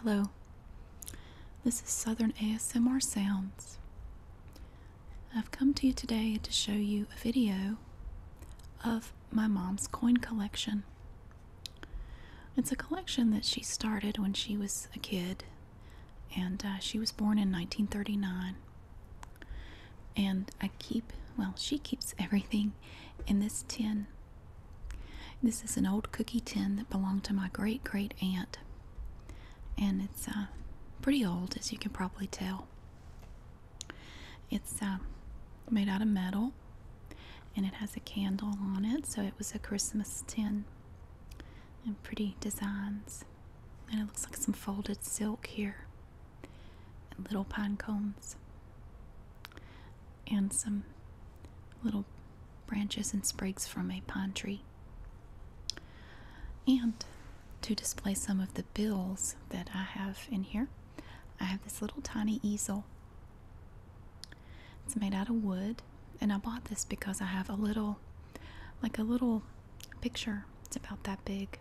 Hello, this is Southern ASMR Sounds. I've come to you today to show you a video of my mom's coin collection. It's a collection that she started when she was a kid, and uh, she was born in 1939. And I keep, well, she keeps everything in this tin this is an old cookie tin that belonged to my great great aunt, and it's uh, pretty old, as you can probably tell. It's uh, made out of metal, and it has a candle on it, so it was a Christmas tin. And pretty designs, and it looks like some folded silk here, and little pine cones, and some little branches and sprigs from a pine tree. And to display some of the bills that I have in here, I have this little tiny easel. It's made out of wood, and I bought this because I have a little, like a little picture. It's about that big,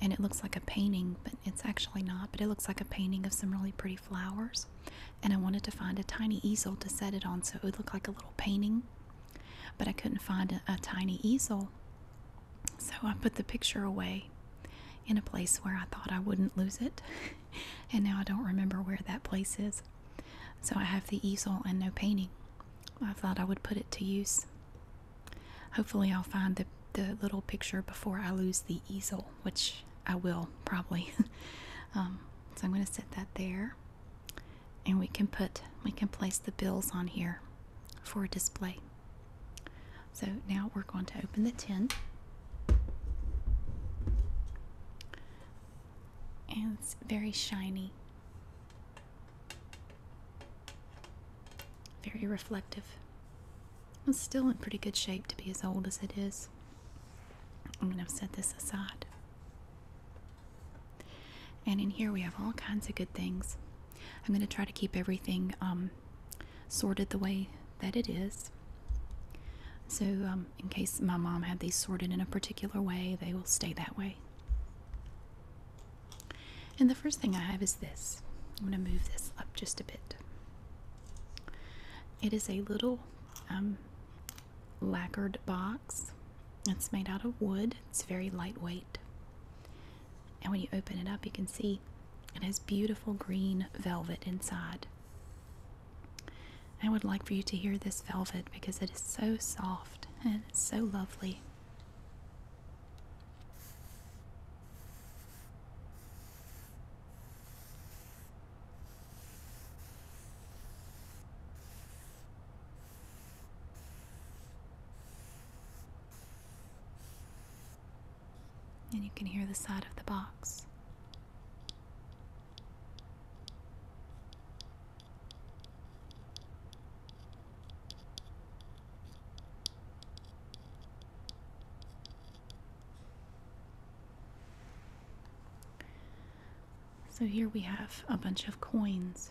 and it looks like a painting, but it's actually not, but it looks like a painting of some really pretty flowers, and I wanted to find a tiny easel to set it on so it would look like a little painting. But I couldn't find a, tiny easel, so I put the picture away in a place where I thought I wouldn't lose it, and now I don't remember where that place is. So I have the easel and no painting. I thought I would put it to use. Hopefully, I'll find the little picture before I lose the easel, which I will probably. Um, so I'm going to set that there, and we can put we can place the bills on here for display. So now we're going to open the tin. And it's very shiny. Very reflective. It's still in pretty good shape to be as old as it is. I'm going to set this aside. And in here we have all kinds of good things. I'm going to try to keep everything um, sorted the way that it is. So, um, in case my mom had these sorted in a particular way, they will stay that way. And the first thing I have is this. I'm going to move this up just a bit. It is a little um, lacquered box. It's made out of wood, it's very lightweight. And when you open it up, you can see it has beautiful green velvet inside. I would like for you to hear this velvet because it is so soft and it's so lovely. And you can hear the side of the box. So here we have a bunch of coins.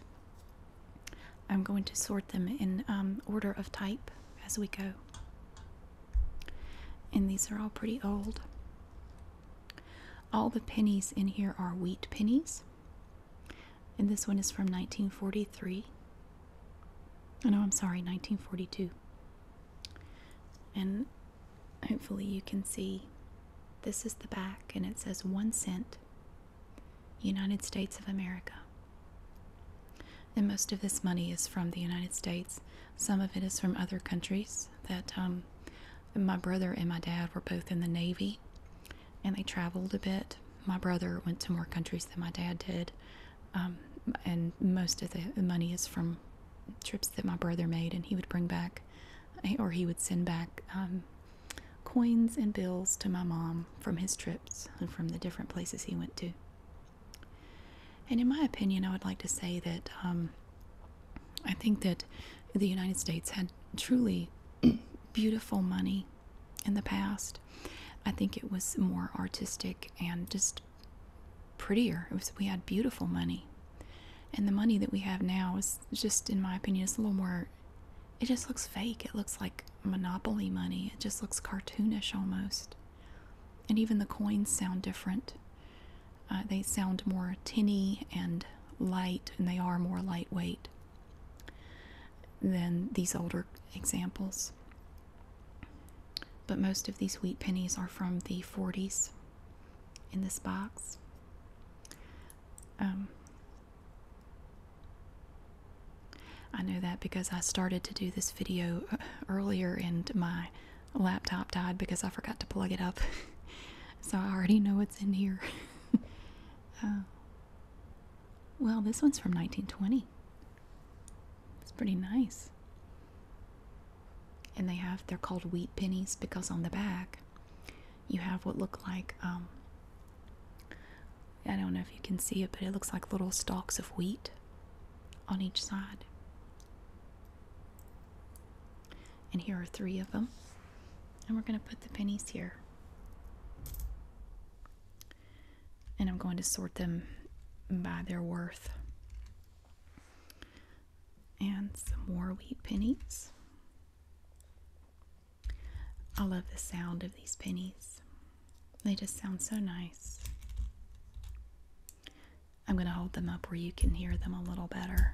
I'm going to sort them in um, order of type as we go. And these are all pretty old. All the pennies in here are wheat pennies. And this one is from 1943. Oh, no, I'm sorry, 1942. And Hopefully, you can see this is the back and it says one cent, United States of America. And most of this money is from the United States. Some of it is from other countries that um, my brother and my dad were both in the Navy and they traveled a bit. My brother went to more countries than my dad did. Um, and most of the money is from trips that my brother made, and he would bring back eh, or he would send back um, coins and bills to my mom from his trips and from the different places he went to. And in my opinion, I would like to say that um, I think that the United States had truly beautiful money in the past. I think it was more artistic and just prettier. we had beautiful money, and the money that we have now is just, in my opinion, is a little more. It just looks fake. It looks like monopoly money. It just looks cartoonish almost, and even the coins sound different. Uh, they sound more tinny and light, and they are more lightweight than these older examples. But most of these wheat pennies are from the 40s in this box. Um, I know that because I started to do this video uh, earlier and my laptop died because I forgot to plug it up. so I already know what's in here. Uh, well, this one's from 1920. It's pretty nice and they have they're called wheat pennies because on the back you have what look like um, I don't know if you can see it, but it looks like little stalks of wheat on each side. And here are three of them. And we're going to put the pennies here. And I'm going to sort them by their worth and some more wheat pennies. I love the sound of these pennies. They just sound so nice. I'm going to hold them up where you can hear them a little better.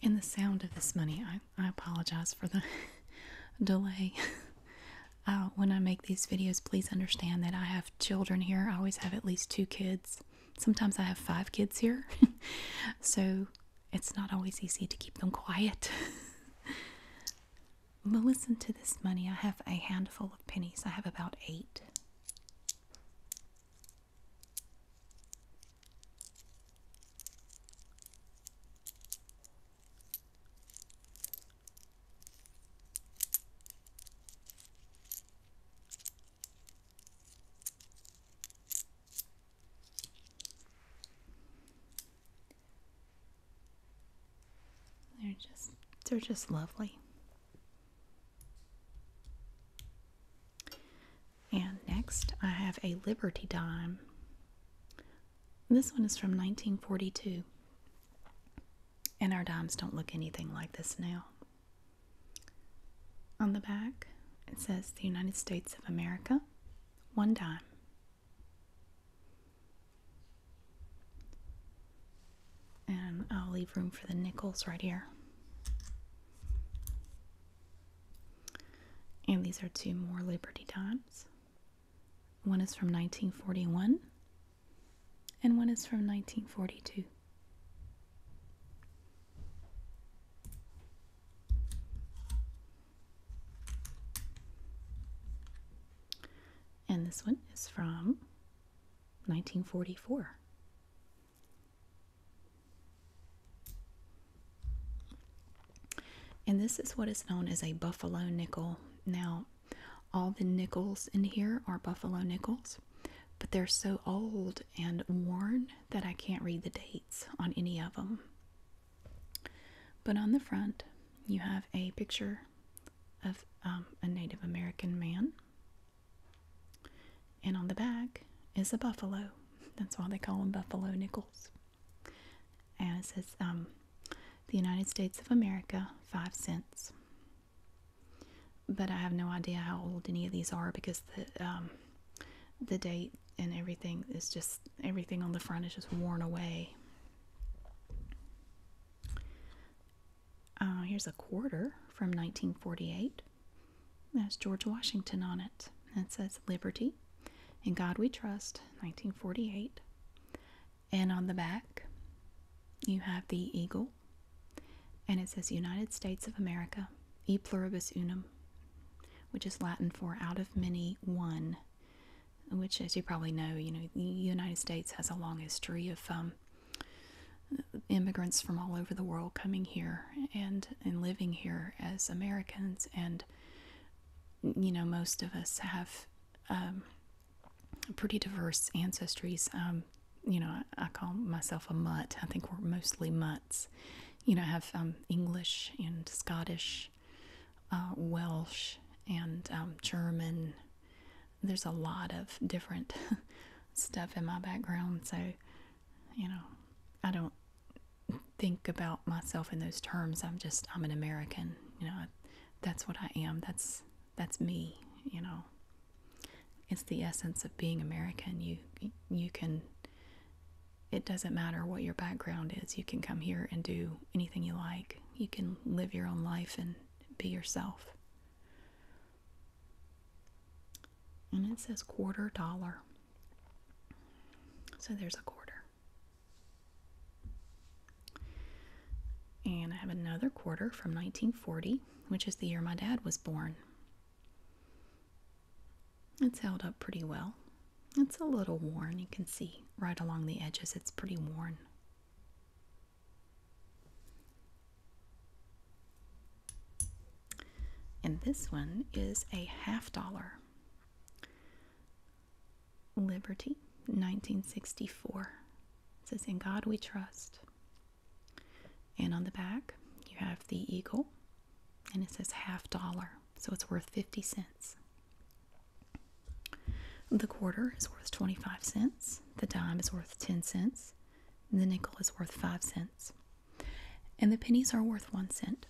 In the sound of this money, I, apologize for the delay. Uh, when I make these videos, please understand that I have children here. I always have at least two kids. Sometimes I have five kids here. so it's not always easy to keep them quiet. But listen to this money. I have a handful of pennies. I have about eight. They're just they're just lovely. And next I have a Liberty dime. This one is from 1942. And our dimes don't look anything like this now. On the back, it says the United States of America, one dime. And I'll leave room for the nickels right here. And these are two more Liberty Dimes. One is from 1941 and one is from 1942. And this one is from 1944. And this is what is known as a buffalo nickel. Now, all the nickels in here are buffalo nickels, but they're so old and worn that I can't read the dates on any of them. But on the front, you have a picture of um, a Native American man. And on the back is a buffalo. That's why they call them buffalo nickels. And it says, um, the United States of America, five cents. But I have no idea how old any of these are because the um, the date and everything is just everything on the front is just worn away. Uh, here's a quarter from 1948. That's George Washington on it. That says Liberty, and God We Trust, 1948. And on the back, you have the eagle. And it says United States of America, E Pluribus Unum, which is Latin for out of many, one. Which, as you probably know, you know, the United States has a long history of um, um, immigrants from all over the world coming here and and living here as Americans, and you know most of us have um, pretty diverse ancestries. Um, you know, I, call myself a mutt. I think we're mostly mutts. You know, I have English and Scottish, uh, Welsh, and German there's a lot of different stuff in my background, so you know, I don't think about myself in those terms. I'm just I'm an American, you know. That's what I am. That's that's me, you know. It's the essence of being American. You you can it doesn't matter what your background is. You can come here and do anything you like. You can live your own life and be yourself. And it says quarter dollar. So there's a quarter. And I have another quarter from 1940, which is the year my dad was born. It's held up pretty well. It's a little worn, you can see right along the edges, it's pretty worn. And this one is a half dollar. Liberty, 1964. It says, In God we trust. And on the back, you have the eagle, and it says half dollar. So it's worth 50 cents. The quarter is worth 25 cents, the dime is worth 10 cents, the nickel is worth 5 cents, and the pennies are worth 1 cent.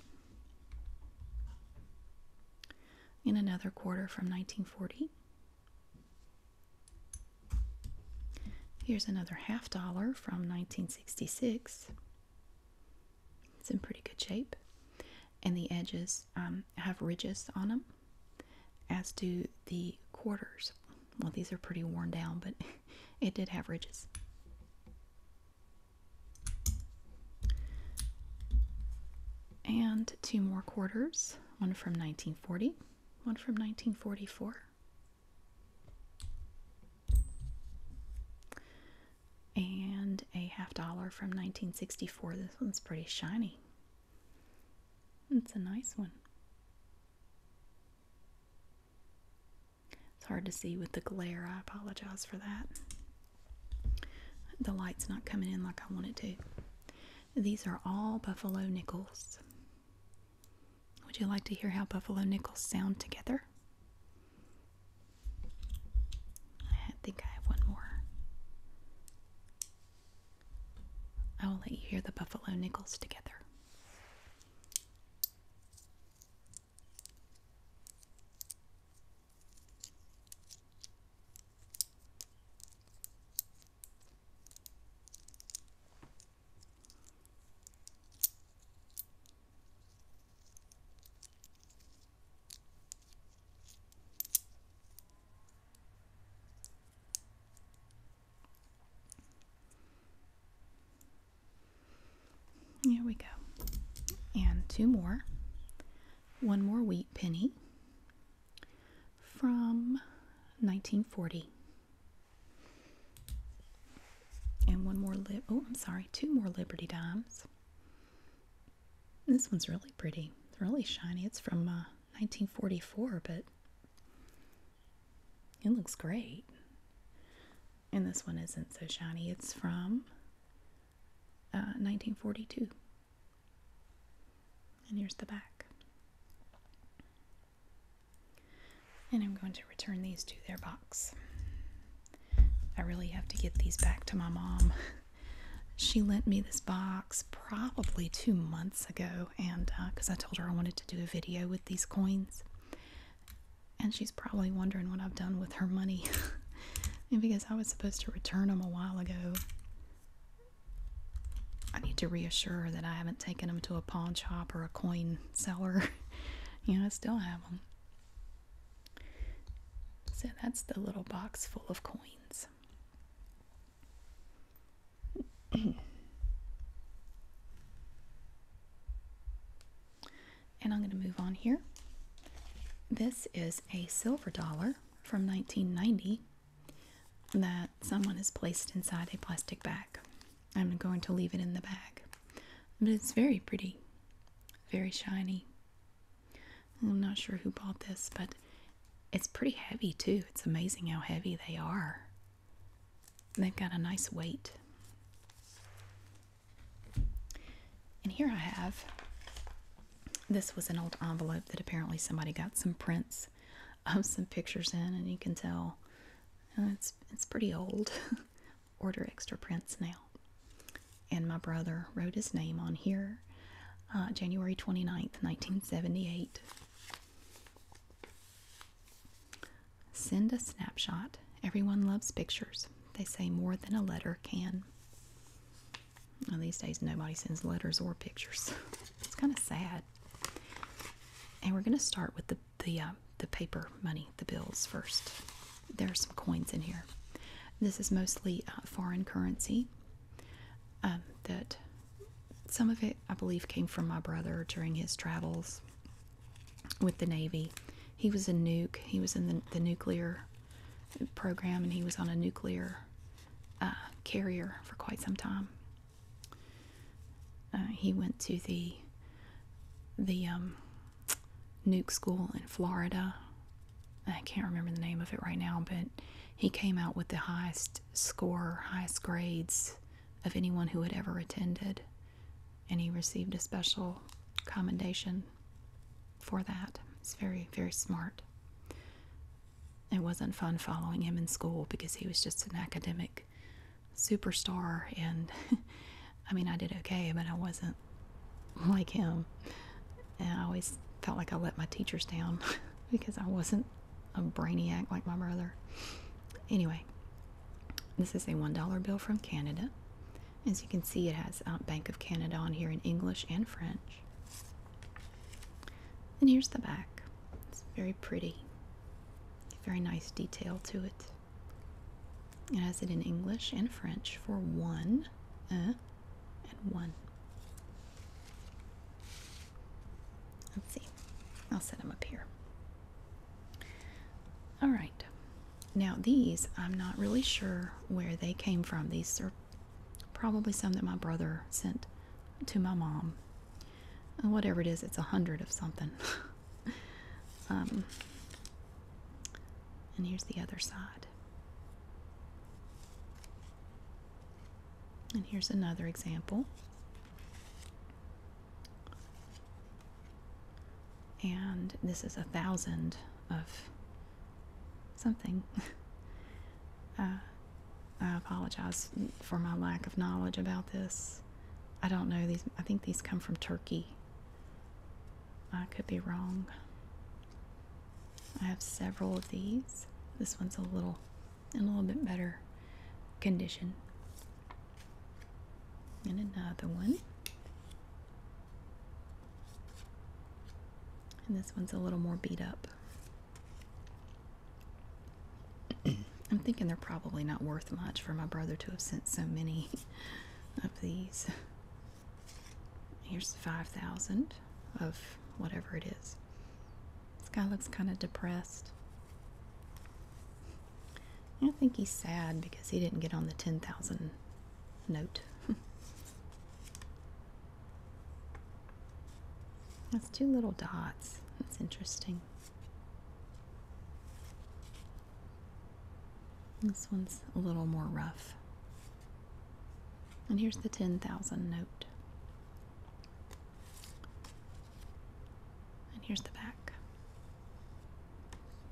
In another quarter from 1940, here's another half dollar from 1966. It's in pretty good shape, and the edges um, have ridges on them. As do the quarters. Well, these are pretty worn down, but it did have ridges. And two more quarters, one from 1940, one from 1944. And a half dollar from 1964. This one's pretty shiny. It's a nice one. It's hard to see with the glare. I apologize for that. The light's not coming in like I want it to. These are all buffalo nickels. Would you like to hear how buffalo nickels sound together? I think I have one more. I will let you hear the buffalo nickels together. Here we go. And two more. One more wheat penny from 1940. And one more lib oh, I'm sorry, two more Liberty dimes. This one's really pretty. It's really shiny. It's from uh, 1944, but it looks great. And this one isn't so shiny. It's from 1942. Uh, and here's the back. And I'm going to return these to their box. I really have to get these back to my mom. she lent me this box probably two months ago, and because uh, I told her I wanted to do a video with these coins, and she's probably wondering what I've done with her money, and because I was supposed to return them a while ago. I need to reassure her that I haven't taken them to a pawn shop or a coin seller. you know, I still have them. So that's the little box full of coins. and I'm going to move on here. This is a silver dollar from 1990 that someone has placed inside a plastic bag. I'm going to leave it in the bag. But it's very pretty, very shiny. I'm not sure who bought this, but it's pretty heavy too. It's amazing how heavy they are. They've got a nice weight. And here I have this was an old envelope that apparently somebody got some prints of some pictures in, and you can tell uh, it's it's pretty old. Order extra prints now. And my brother wrote his name on here, uh, January 29th, 1978. Send a snapshot. Everyone loves pictures. They say more than a letter can. Well, these days, nobody sends letters or pictures. it's kind of sad. And we're going to start with the the uh, the paper money, the bills first. There are some coins in here. This is mostly uh, foreign currency um, that some of it, I believe, came from my brother during his travels with the Navy. He was a nuke. He was in the, the nuclear program, and he was on a nuclear uh, carrier for quite some time. Uh, he went to the the um, nuke school in Florida. I can't remember the name of it right now, but he came out with the highest score, highest grades of anyone who had ever attended. And he received a special commendation for that. He's very, very smart. It wasn't fun following him in school because he was just an academic superstar. And I mean, I did okay, but I wasn't like him. And I always felt like I let my teachers down because I wasn't wasn't a brainiac like my brother. Anyway, this is a $1 bill from Canada. As you can see, it has uh, Bank of Canada on here in English and French. And here's the back. It's very pretty. Very nice detail to it. It has it in English and French for one, uh, and one. Let's see. I'll set them up here. All right. Now these, I'm not really sure where they came from. These are probably some that my brother sent to my mom. Uh, whatever it is, it's a hundred of something. um, and here's the other side. And here's another example. And this is a thousand of something. Uh, I apologize for my lack of knowledge about this. I don't know these. I think these come from Turkey. I could be wrong. I have several of these. This one's a little in a little bit better condition. And another one. And this one's a little more beat up. I'm thinking they're probably not worth much for my brother to have sent so many of these. Here's 5,000 of whatever it is. This guy looks kind of depressed. I think he's sad because he didn't get on the 10,000 note. That's two little dots. That's interesting. This one's a little more rough. And here's the 10,000 note. And here's the back.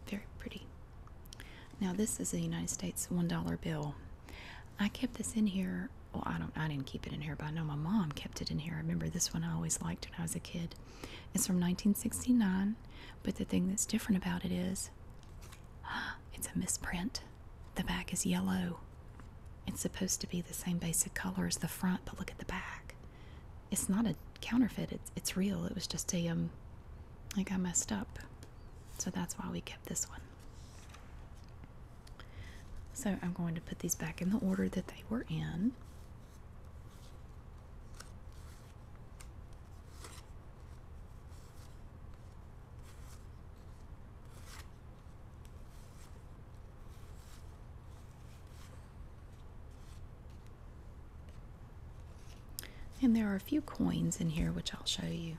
Very pretty. Now this is a United States $1 bill. I kept this in here. Well, I don't I didn't keep it in here, but I know my mom kept it in here. I remember this one I always liked when I was a kid. It's from 1969, but the thing that's different about it is it's a misprint. The back is yellow. It's supposed to be the same basic color as the front, but look at the back. It's not a counterfeit. It's it's real. It was just a um like I messed up. So that's why we kept this one. So I'm going to put these back in the order that they were in. And there are a few coins in here which I'll show you.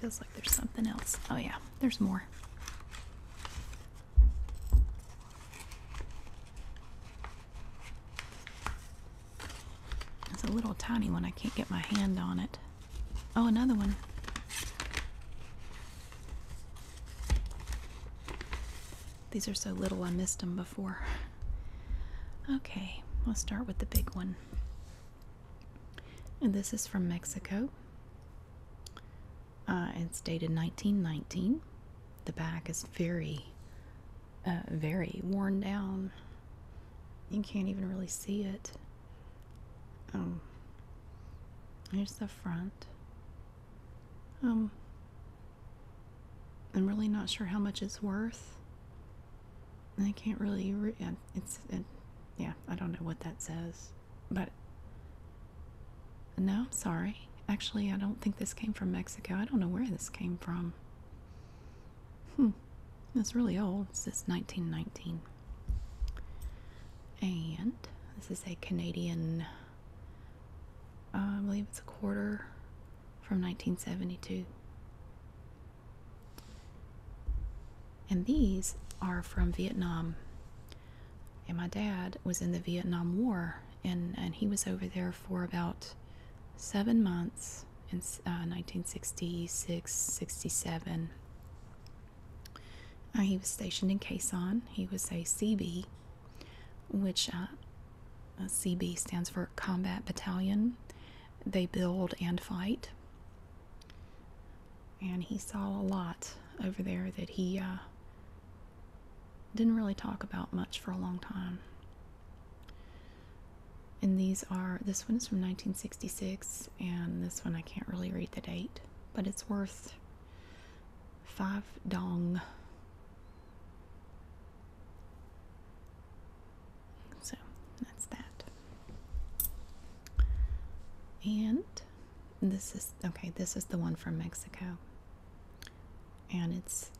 Feels like there's something else. Oh, yeah, there's more. It's a little tiny one. I can't get my hand on it. Oh, another one. These are so little I missed them before. Okay, let's start with the big one. And this is from Mexico. Uh, it's dated 1919. The back is very uh, very worn down. You can't even really see it. Um, here's the front. Um, I'm really not sure how much it's worth. I can't really. Re uh, it's yeah. I don't know what that says, but no. sorry. Actually, I don't think this came from Mexico. I don't know where this came from. Hmm, that's really old. Since 1919. And this is a Canadian, uh, I believe it's a quarter from 1972. And these are from Vietnam. And my dad was in the Vietnam War and he was over there for about seven months in 1966 uh, 67 uh, he was stationed in Quezon. He was a CB, which uh, CB stands for Combat Battalion. They build and fight. And he saw a lot over there that he didn't really talk about much for a long time. And these are this one is from 1966, and this one I can't really read the date, but it's worth five dong. So that's that. And this is okay, this is the one from Mexico and it's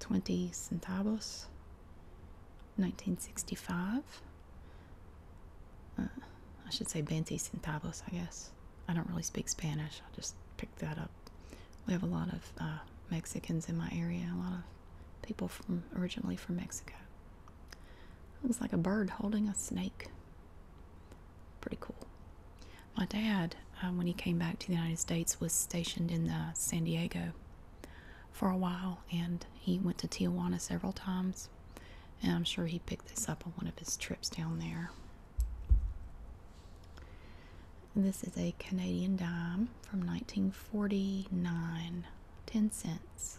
20 centavos 1965 uh, I should say 20 centavos I guess I don't really speak Spanish I just picked that up we have a lot of uh, Mexicans in my area a lot of people from originally from Mexico looks like a bird holding a snake pretty cool my dad, um, when he came back to the United States, was stationed in uh, San Diego for a while, and he went to Tijuana several times. And I'm sure he picked this up on one of his trips down there. This is a Canadian dime from 1949, 10 cents.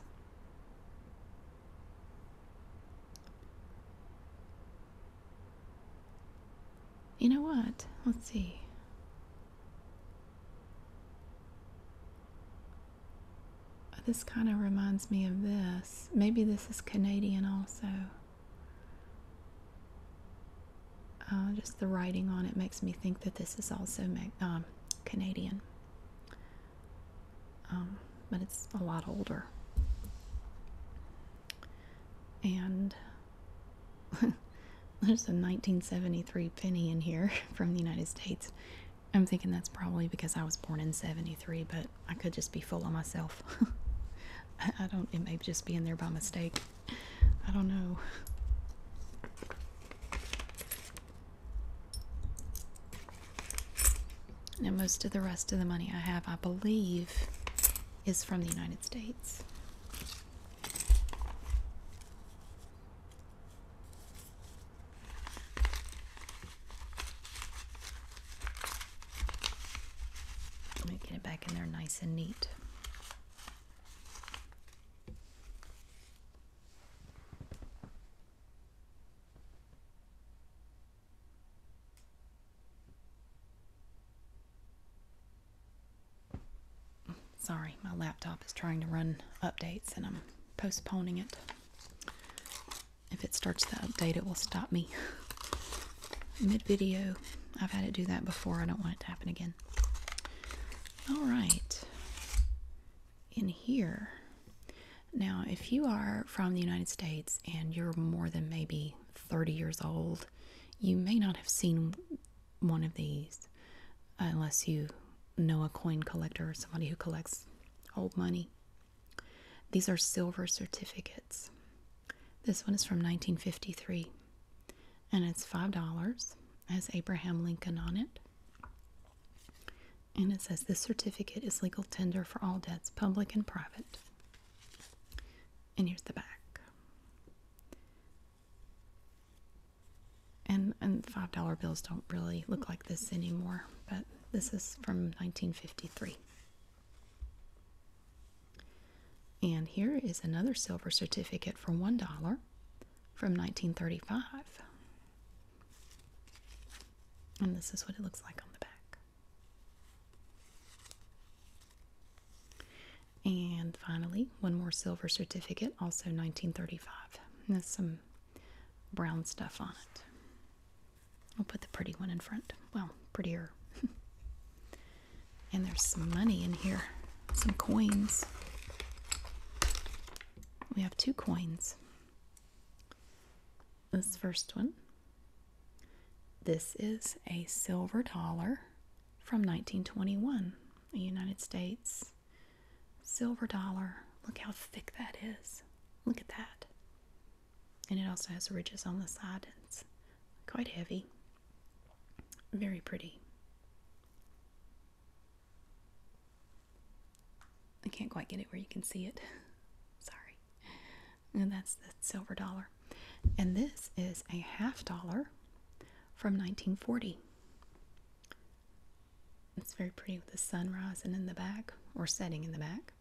You know what? Let's see. This kind of reminds me of this. Maybe this is Canadian also. Uh, just the writing on it makes me think that this is also um, Canadian. Um, but it's a lot older. And There's a 1973 penny in here from the United States. I'm thinking that's probably because I was born in 73, but I could just be full of myself. I, don't, it may just be in there by mistake. I don't know. Now, most of the rest of the money I have, I believe, is from the United States. Let me get it back in there nice and neat. Sorry, my laptop is trying to run updates and I'm postponing it. If it starts the update, it will stop me mid video. I've had it do that before. I don't want it to happen again. All right. In here. Now, if you are from the United States and you're more than maybe 30 years old, you may not have seen one of these unless you know a coin collector or somebody who collects old money. These are silver certificates. This one is from 1953 and it's $5 has Abraham Lincoln on it. And it says this certificate is legal tender for all debts, public and private. And here's the back. And and five dollar bills don't really look like this anymore, but this is from 1953. And here is another silver certificate for one dollar from 1935. And this is what it looks like on the back. And finally, one more silver certificate, also 1935. And there's some brown stuff on it. I'll put the pretty one in front. Well, prettier. and there's some money in here, some coins. We have two coins. This first one. This is a silver dollar from 1921, a United States silver dollar. Look how thick that is. Look at that. And it also has ridges on the side. It's quite heavy. Very pretty. I can't quite get it where you can see it. Sorry. And that's the silver dollar. And this is a half dollar from 1940. It's very pretty with the sun rising in the back or setting in the back.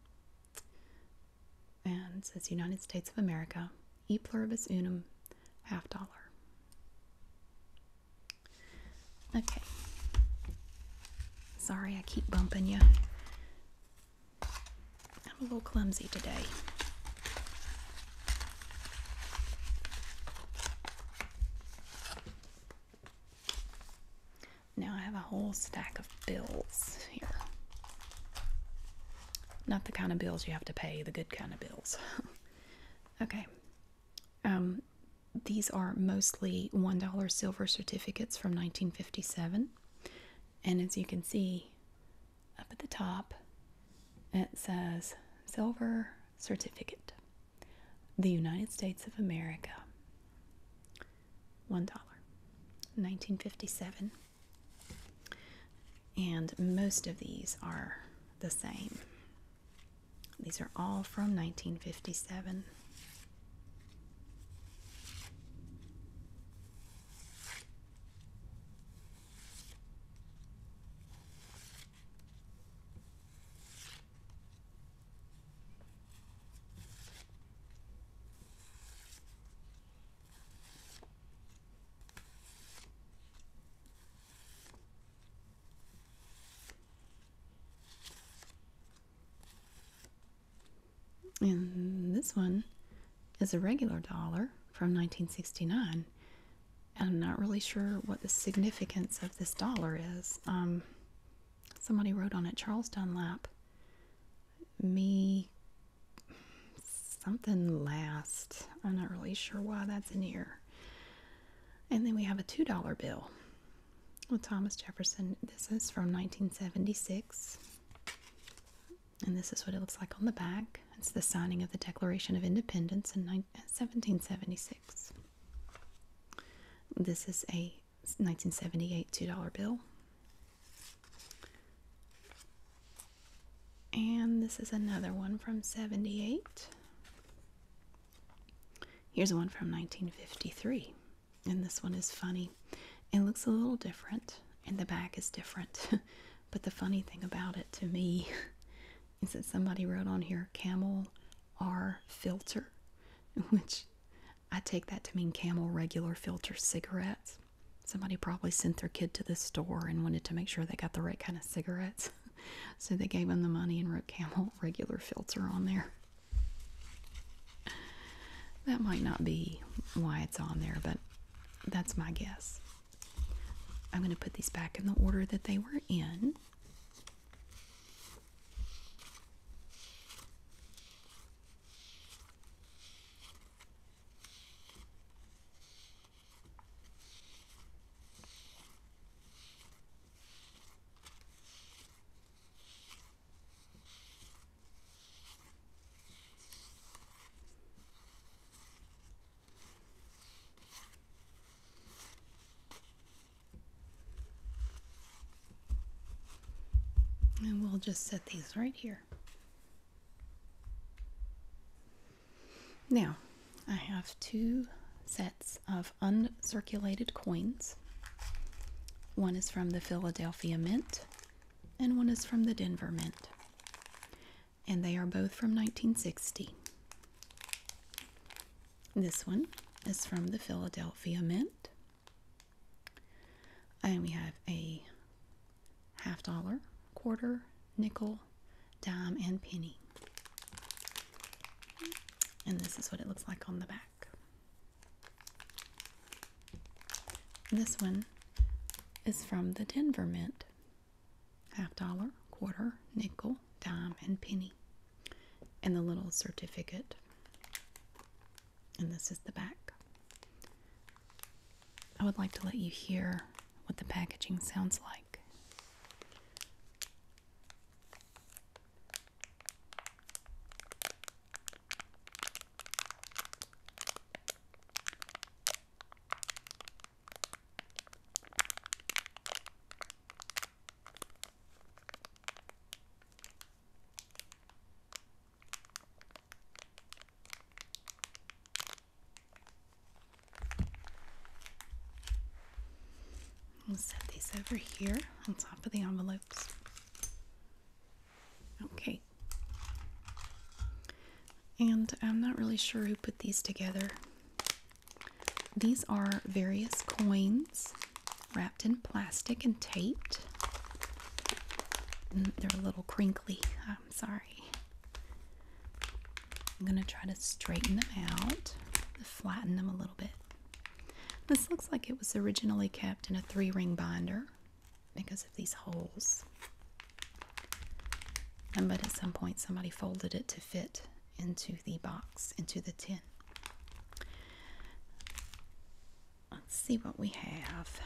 And says United States of America, e pluribus unum, half dollar. Okay. Sorry, I keep bumping you. I'm a little clumsy today. Now I have a whole stack of bills here. Not the kind of bills you have to pay, the good kind of bills. okay. Um, these are mostly $1 silver certificates from 1957. And as you can see, up at the top, it says Silver Certificate, the United States of America. $1, 1957. And most of these are the same. These are all from 1957. And this one is a regular dollar from 1969 I'm not really sure what the significance of this dollar is. Um, somebody wrote on it Charles Dunlap, me something last. I'm not really sure why that's in here. And then we have a $2 bill with Thomas Jefferson. This is from 1976. And this is what it looks like on the back. It's the signing of the Declaration of Independence in 1776. Uh, this is a 1978 $2 bill. And this is another one from 78. Here's one from 1953. And this one is funny. It looks a little different, and the back is different. But the funny thing about it to me is that somebody wrote on here camel R filter, which I take that to mean camel regular filter cigarettes. Somebody probably sent their kid to the store and wanted to make sure they got the right kind of cigarettes. So they gave him the money and wrote camel regular filter on there. That might not be why it's on there, but that's my guess. I'm going to put these back in the order that they were in. And we'll just set these right here. Now, I have two sets of uncirculated coins. One is from the Philadelphia Mint, and one is from the Denver Mint and they are both from 1960. This one is from the Philadelphia Mint. And we have a half dollar, quarter, nickel, dime, and penny. And this is what it looks like on the back. This one is from the Denver Mint half dollar, quarter, nickel, dime, and penny. And the little certificate. And this is the back. I would like to let you hear what the packaging sounds like. We'll set these over here on top of the envelopes. Okay. And I'm not really sure who put these together. These are various coins wrapped in plastic and taped. Mm, they're a little crinkly. I'm sorry. I'm going to try to straighten them out, flatten them a little bit. This looks like it was originally kept in a three ring binder because of these holes but at some point somebody folded it to fit into the box into the tin let's see what we have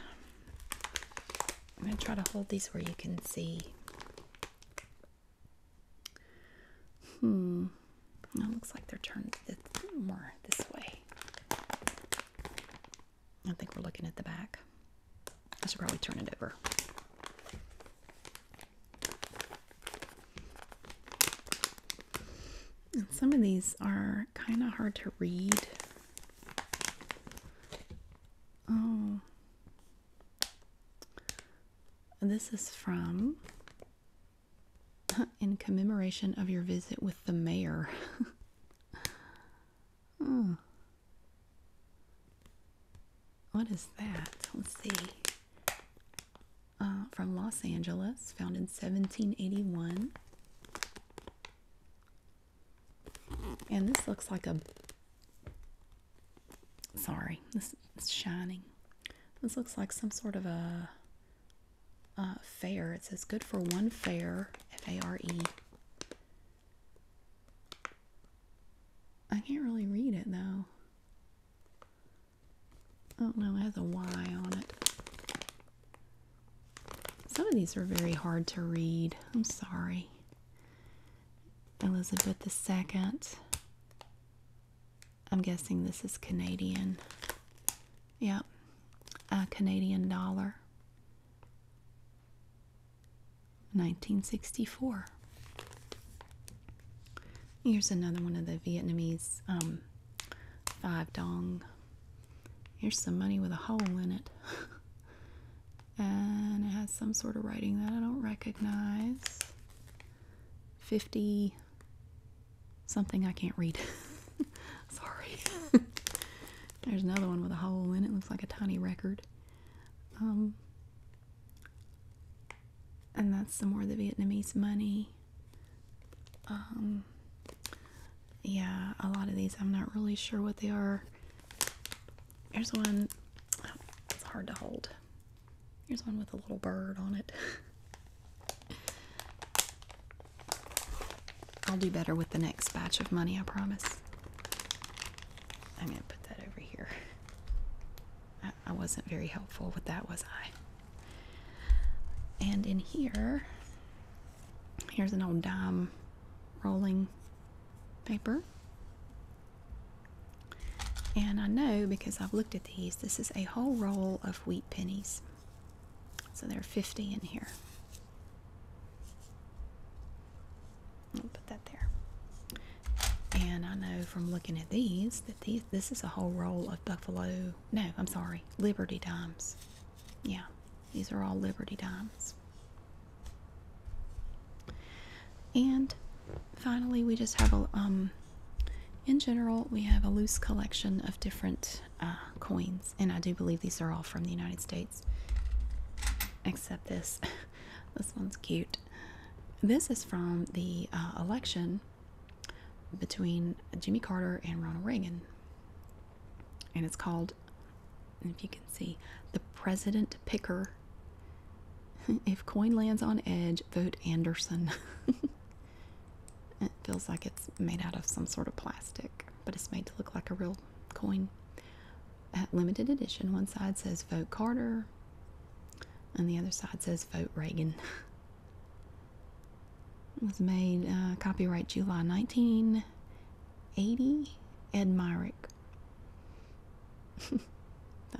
i'm going to try to hold these where you can see hmm it looks like they're turned more this way i think we're looking at the back I should probably turn it over. some of these are kind of hard to read. Oh. This is from in commemoration of your visit with the mayor. oh. What is that? Let's see. Uh, from Los Angeles, found in 1781. And this looks like a. Sorry, this is shining. This looks like some sort of a uh, fair. It says good for one fair, F A R E. I can't really read it though. Oh no, it has a Y on it. Some of these are very hard to read. I'm sorry. Elizabeth 2nd I'm guessing this is Canadian. Yep, a Canadian dollar. 1964. Here's another one of the Vietnamese um, five dong. Here's some money with a hole in it. and it has some sort of writing that I don't recognize. 50 something I can't read. Sorry. There's another one with a hole in it. Looks like a tiny record. Um, and that's some more of the Vietnamese money. Um, yeah, a lot of these I'm not really sure what they are. Here's one, oh, it's hard to hold. Here's one with a little bird on it. I'll do better with the next batch of money, I promise. I'm gonna put that over here. I, wasn't very helpful with that, was I? And in here, here's an old dime rolling paper. And I know because I've looked at these, this is a whole roll of wheat pennies. So there are 50 in here put that there. And I know from looking at these that these, this is a whole roll of Buffalo. No, I'm sorry, Liberty Dimes. Yeah, these are all Liberty Dimes. And finally, we just have a um. In general, we have a loose collection of different uh, coins, and I do believe these are all from the United States, except this. this one's cute. This is from the uh, election between Jimmy Carter and Ronald Reagan. And it's called, if you can see, The President Picker. if coin lands on edge, vote Anderson. it feels like it's made out of some sort of plastic, but it's made to look like a real coin limited edition. One side says Vote Carter, and the other side says Vote Reagan. was made uh, copyright July 1980. Ed Myrick. I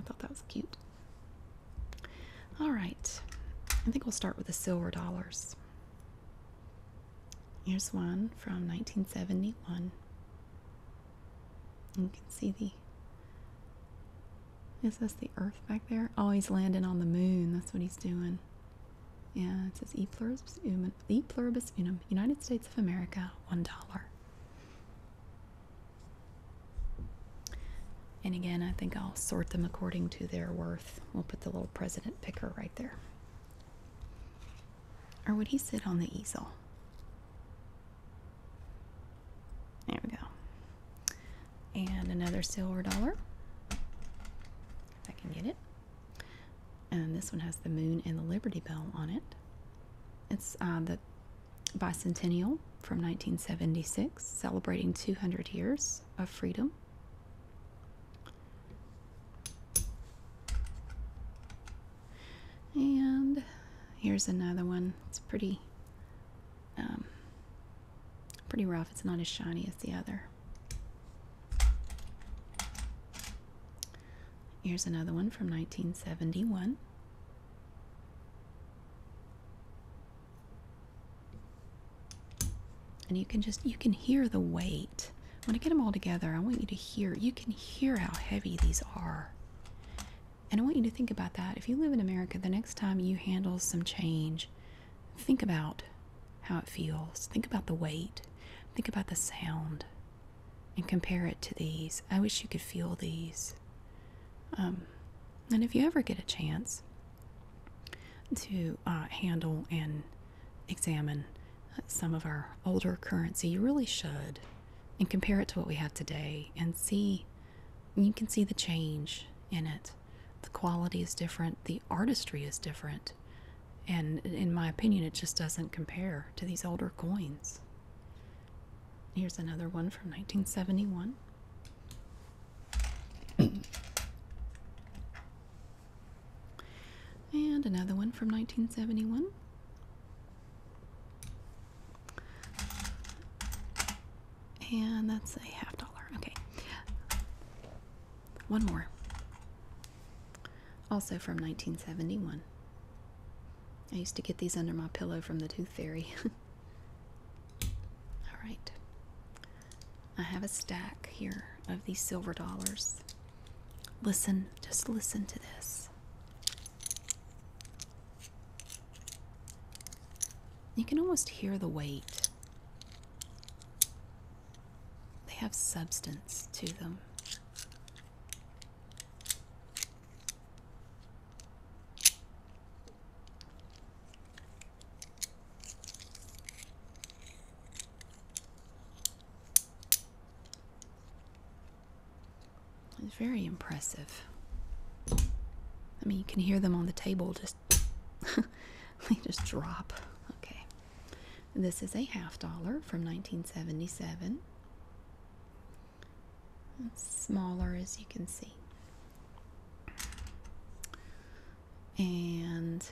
thought that was cute. All right, I think we'll start with the silver dollars. Here's one from 1971. You can see the. Is this the Earth back there? Oh, he's landing on the moon. That's what he's doing. Yeah, it says E pluribus unum. E pluribus unum. United States of America, one dollar. And again, I think I'll sort them according to their worth. We'll put the little president picker right there. Or would he sit on the easel? There we go. And another silver dollar. If I can get it. And this one has the moon and the Liberty Bell on it. It's uh, the bicentennial from 1976, celebrating 200 years of freedom. And here's another one. It's pretty, um, pretty rough. It's not as shiny as the other. Here's another one from 1971. And you can just, you can hear the weight. When I get them all together, I want you to hear, you can hear how heavy these are. And I want you to think about that. If you live in America, the next time you handle some change, think about how it feels. Think about the weight. Think about the sound and compare it to these. I wish you could feel these. Um, and if you ever get a chance to uh, handle and examine uh, some of our older currency, you really should and compare it to what we have today and see you can see the change in it the quality is different the artistry is different and in my opinion it just doesn't compare to these older coins here's another one from 1971 and another one from 1971 and that's a half dollar. Okay. One more. Also from 1971. I used to get these under my pillow from the Tooth Fairy. All right. I have a stack here of these silver dollars. Listen, just listen to this. You can almost hear the weight. They have substance to them. It's very impressive. I mean, you can hear them on the table just. they just drop. Okay. This is a half dollar from 1977. smaller as you can see. And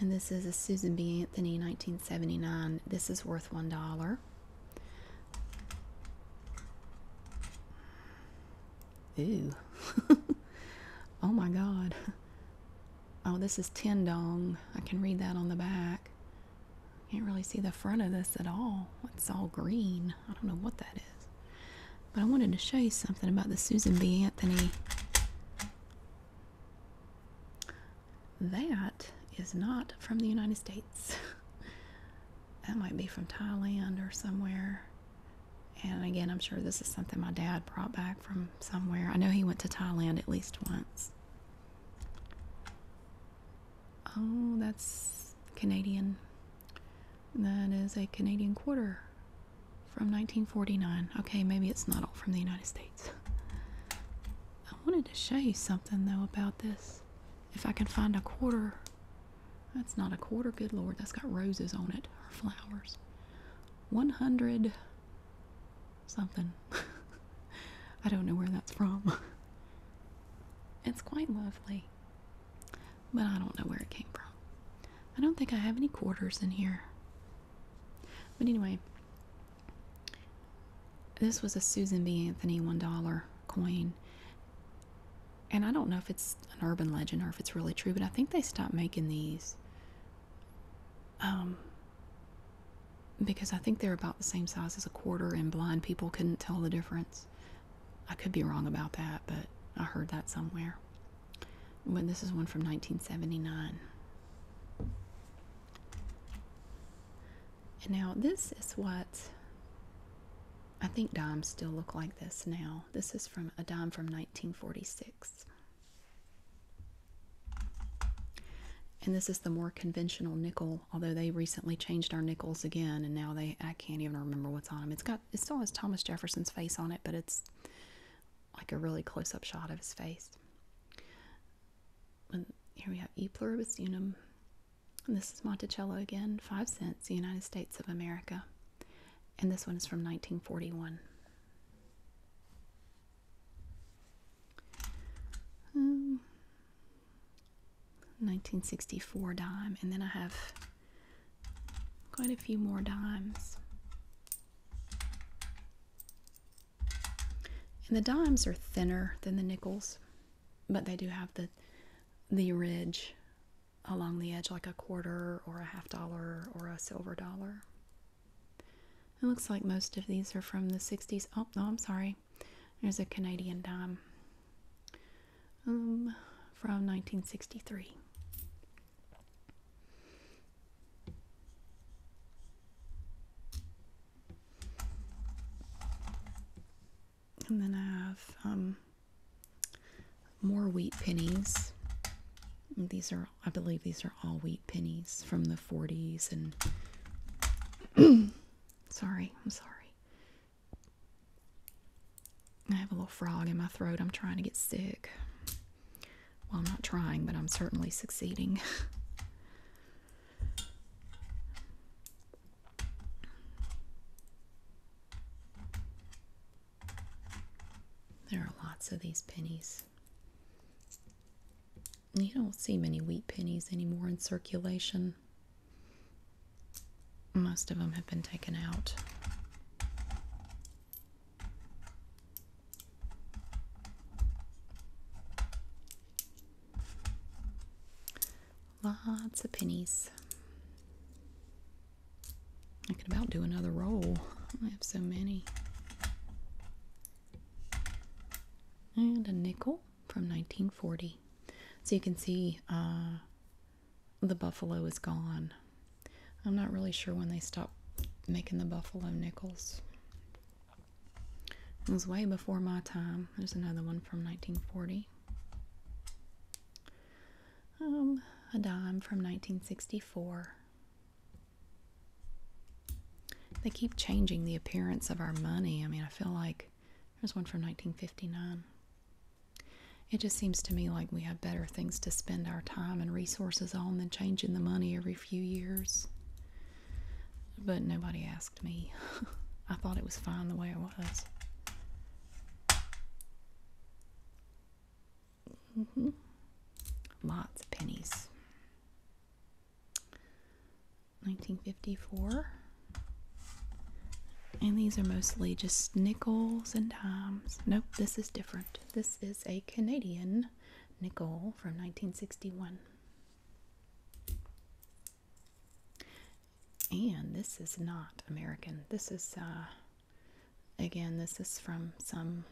and this is a Susan B. Anthony 1979. This is worth $1. Ooh. oh my god. Oh, this is Tendong. I can read that on the back. Can't really see the front of this at all. It's all green. I don't know what that is. But I wanted to show you something about the Susan B. Anthony. That is not from the United States. that might be from Thailand or somewhere. And again, I'm sure this is something my dad brought back from somewhere. I know he went to Thailand at least once. Oh, that's Canadian. That is a Canadian quarter from 1949. Okay, maybe it's not all from the United States. I wanted to show you something though about this. If I can find a quarter, that's not a quarter, good lord, that's got roses on it or flowers. 100 something. I don't know where that's from. it's quite lovely, but I don't know where it came from. I don't think I have any quarters in here. But anyway, this was a Susan B. Anthony $1 coin. And I don't know if it's an urban legend or if it's really true, but I think they stopped making these um, because I think they're about the same size as a quarter, and blind people couldn't tell the difference. I could be wrong about that, but I heard that somewhere. But this is one from 1979. And now this is what I think dimes still look like this now. This is from a dime from 1946. And this is the more conventional nickel, although they recently changed our nickels again, and now they I can't even remember what's on them. It's got it still has Thomas Jefferson's face on it, but it's like a really close-up shot of his face. And here we have E pluribus unum, this is Monticello again, five cents, United States of America. And this one is from 1941. 1964 um, dime, and then I have quite a few more dimes. And the dimes are thinner than the nickels but they do have the the ridge along the edge like a quarter or a half dollar or a silver dollar. It looks like most of these are from the 60s. Oh, no, I'm sorry. There's a Canadian dime um, from 1963. And then I have um, more wheat pennies. These are, I believe, these are all wheat pennies from the 40s. And sorry, I'm sorry. I have a little frog in my throat. I'm trying to get sick. Well, I'm not trying, but I'm certainly succeeding. There are lots of these pennies. You don't see many wheat pennies anymore in circulation. Most of them have been taken out. Lots of pennies. I could about do another roll. I have so many. And a nickel from 1940. So you can see uh, the buffalo is gone. I'm not really sure when they stopped making the buffalo nickels. It was way before my time. There's another one from 1940. Um, a dime from 1964. They keep changing the appearance of our money. I mean, I feel like there's one from 1959. It just seems to me like we have better things to spend our time and resources on than changing the money every few years. But nobody me. I thought it was fine the way it was. Mm-hmm. Lots of pennies. 1954. And these are mostly just nickels and dimes. Nope, this is different. This is a Canadian nickel from 1961. And this is not American. This is, uh, again, this is from some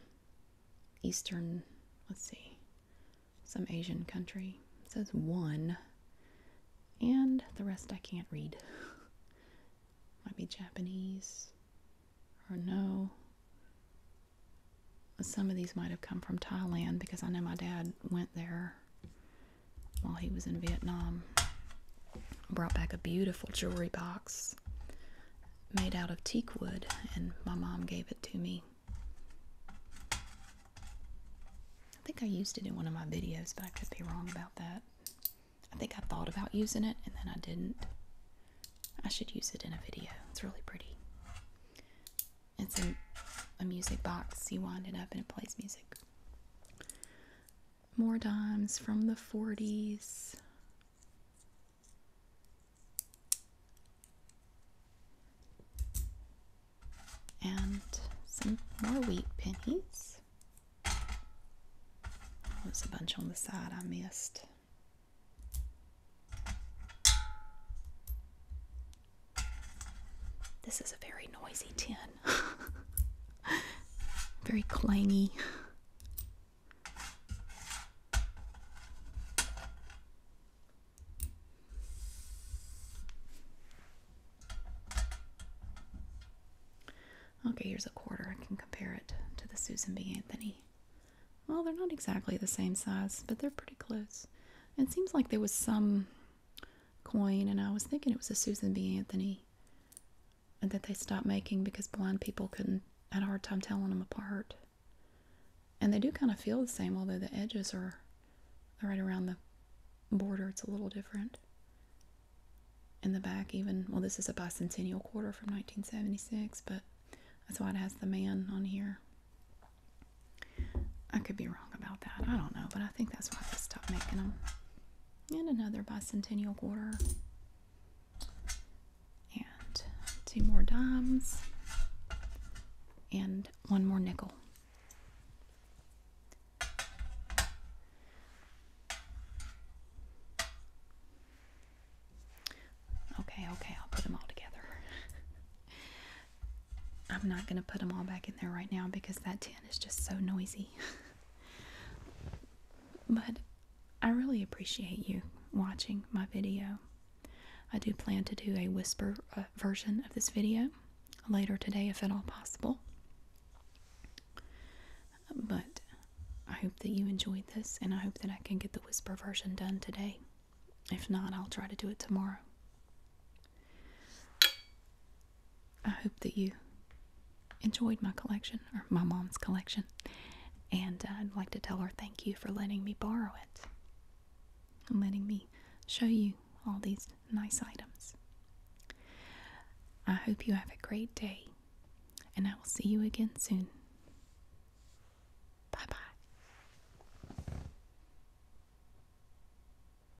Eastern, let's see, some Asian country. It says one, and the rest I can't read. Might be Japanese, or no. Some of these might have come from Thailand because I know my dad went there while he was in Vietnam. Brought back a beautiful jewelry box made out of teak wood, and my mom gave it to me. I think I used it in one of my videos, but I could be wrong about that. I think I thought about using it and then I didn't. I should use it in a video. It's really pretty. It's a, a music box. You wind it up and it plays music. More dimes from the 40s. And some more wheat pennies. there's a bunch on the side I missed. This is a very noisy tin. very clangy. Okay, here's a quarter. I can compare it to the Susan B. Anthony. Well, they're not exactly the same size, but they're pretty close. It seems like there was some coin, and I was thinking it was a Susan B. Anthony, and that they stopped making because blind people couldn't had a hard time telling them apart. And they do kind of feel the same, although the edges are right around the border. It's a little different. In the back, even well, this is a bicentennial quarter from 1976, but that's why it has the man on here. I could be wrong about that. I don't know, but I think that's why they stopped making them. And another bicentennial quarter. And two more dimes. And one more nickel. Okay, okay, I'll put them all together. I'm not going to put them all back in there right now because that tin is just so noisy. but I really appreciate you watching my video. I do plan to do a whisper uh, version of this video later today if at all possible. But I hope that you enjoyed this and I hope that I can get the whisper version done today. If not, I'll try to do it tomorrow. I hope that you enjoyed my collection, or my mom's collection, and uh, I'd like to tell her thank you for letting me borrow it and letting me show you all these nice items. I hope you have a great day, and I will see you again soon. Bye bye.